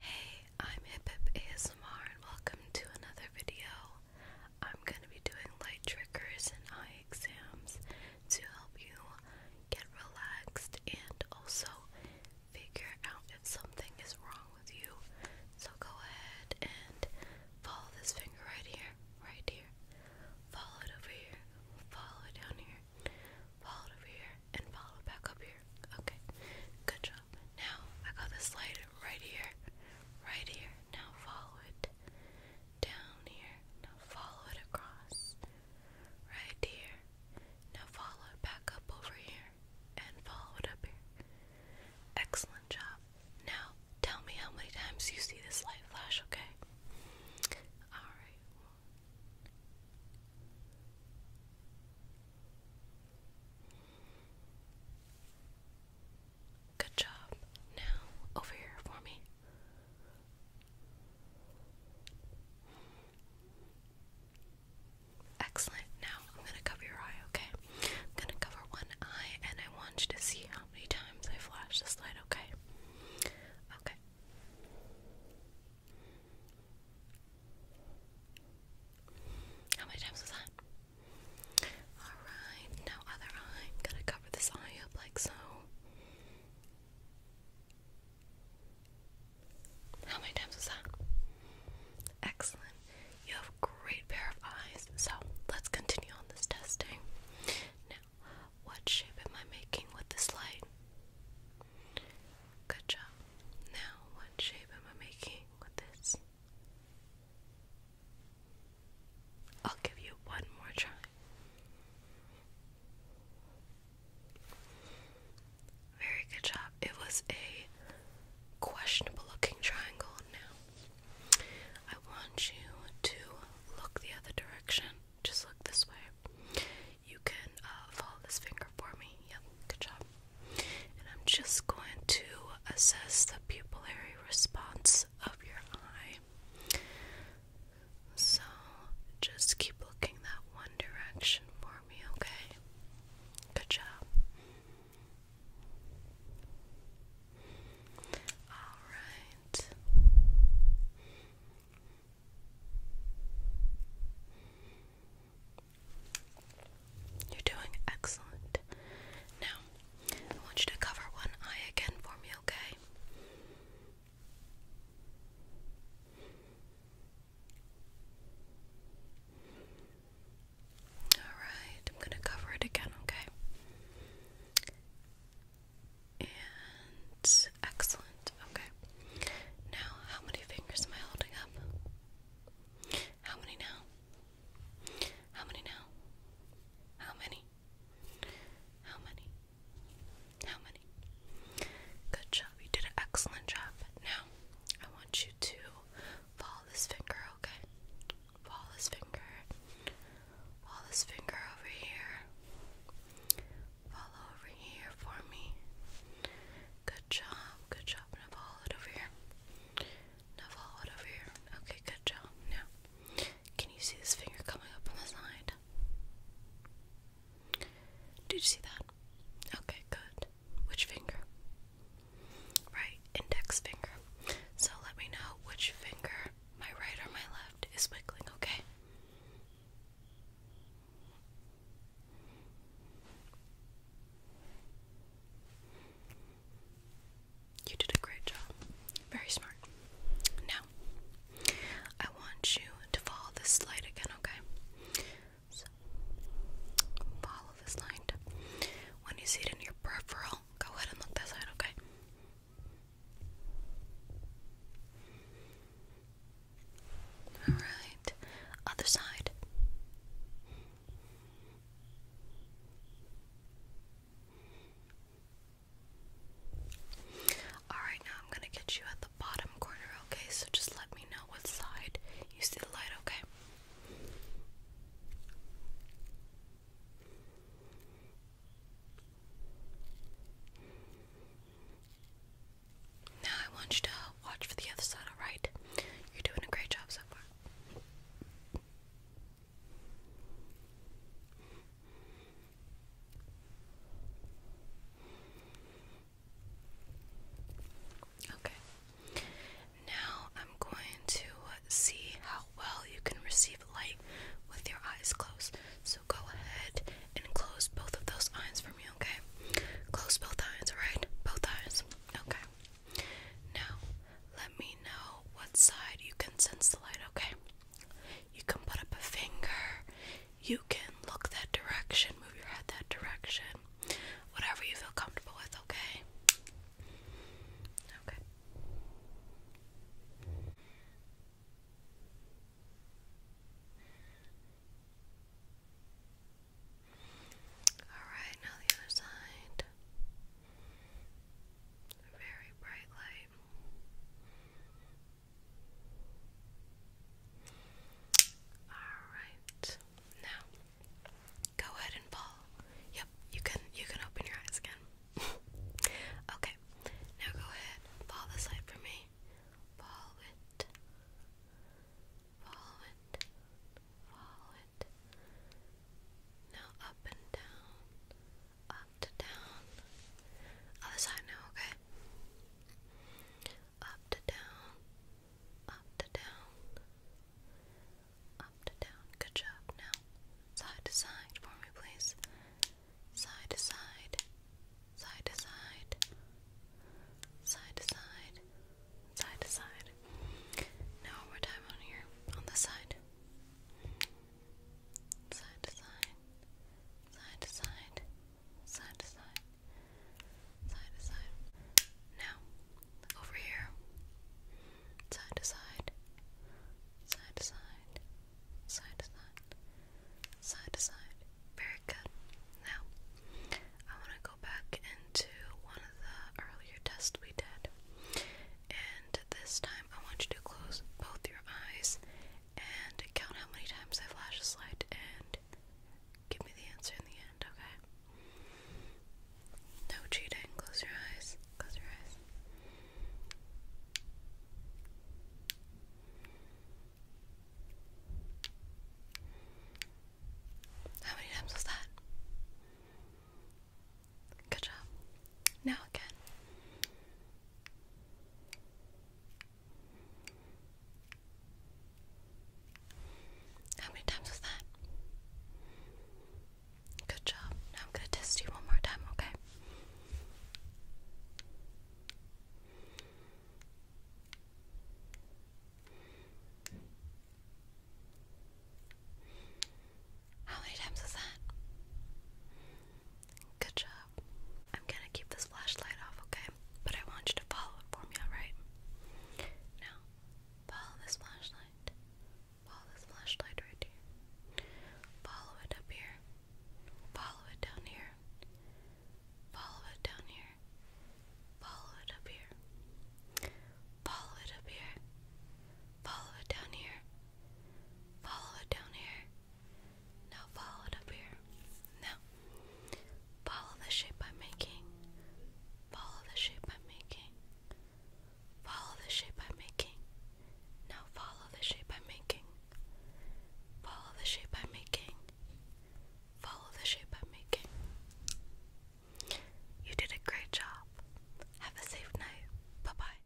Hey, I'm Hip Hip ASMR and welcome to another video. I'm going to be doing light triggers and eye exams to help you get relaxed and also figure out if something is wrong with you. So go ahead and follow this finger right here, right here. Follow it over here, follow it down here, follow it over here, and follow back up here. Okay, good job. Now I got this light right here, right here. Now follow it down here. Now follow it across, right here. Now follow it back up over here and follow it up here. Excellent job. Now tell me how many times you see this light flash, okay? Alright, Good job. Now, over here for me. Excellent. Now, I'm going to cover your eye, okay? I'm going to cover one eye and I want you to see how many times I flash this light, okay? Okay. How many times was that? Alright, now other eye. i to cover this eye up like so. How many times was that? Excellent. You have a great pair of eyes. So let's continue on this testing. Now, what shape am I making with this light? Good job. Now, what shape am I making with this? I'll give you one more try. Very good job. It was a questionable looking triangle. Now, I want you to look the other direction. Just look this way. You can uh, follow this finger for me. Yep, good job. And I'm just going to assess the pupillary response of your eye. So just keep looking that one direction for me, okay? Good job. All right. You're doing excellent. Now, I want you to cover one eye again for me, okay? Alright, I'm going to cover it again, okay? And excellent. Okay. Now, how many fingers am I holding up? How many now? How many now? How many? How many? How many? Good job. You did an excellent job. Now, I want you to follow this finger, okay? Fall his finger. Fall his finger over here. Fall over here for me. Good job. Good job. Now follow it over here. Now fall it over here. Okay, good job. Now, can you see this finger coming up on the side? Did you see that? Okay, good. Which finger? Right, index finger. So let me know which finger my right or my left, is wiggling, okay? You did a great job. Very smart. Now, I want you to follow this light again, okay? follow this light. When you see it in your peripheral, go ahead and look that side, okay? Alright, other side. Alright, now I'm gonna get you at the bottom corner, okay? So just let me know what side you see the light, okay? Now I want you to watch for the other side, alright? You're doing a great job so far. Okay. Now I'm going to see how well you can receive light with your eyes closed. So go ahead and close both of those eyes for me, okay? Close both eyes, alright? Both eyes. Okay. Now let me know what side you can sense the light, okay? You can put up a finger. You can look that direction, move your head that direction. Whatever you feel comfortable with, okay? Okay. Alright, now the other side. Very bright light. Alright, now Go ahead and fall. Yep, you can you can open your eyes again. okay. Now go ahead. Fall this light for me. Follow it. Follow it. Follow it. Now up and down. Up to down. Other side now, okay? Up to down up to down, up to down. Good job. Now, side to side for me, please. Side to side, side to side, side to side, side to side. Now, more time on here, on this side. Side to side, side to side, side to side, side to side. Now, over here, side to side, side to side, side to side, side to side. Very good. Now, I want to go back into one of the earlier tests we did. And this time, I want you to close both your eyes and count how many times I flash a light and Give me the answer in the end, okay? No cheating. Close your eyes. Close your eyes. How many times was that? Good job. Now again. How many times was that? Good job. Now I'm going to test you one more time, okay? How many times was that? Good job. I'm gonna keep this flashlight off, okay? But I want you to follow it for me, alright? Now, follow this flashlight. Follow this flashlight right here. Follow it up here. Follow it down here. Follow it down here. Follow it up here. Follow it up here. Follow it down here. Follow it down here. Now follow it up here. Now, follow the shape I'm making. Follow the shape I'm making. Follow the shape I'm making. Now follow the shape I'm making. Follow the shape I'm making. Follow the shape I'm making. You did a great job. Have a safe night. Bye bye.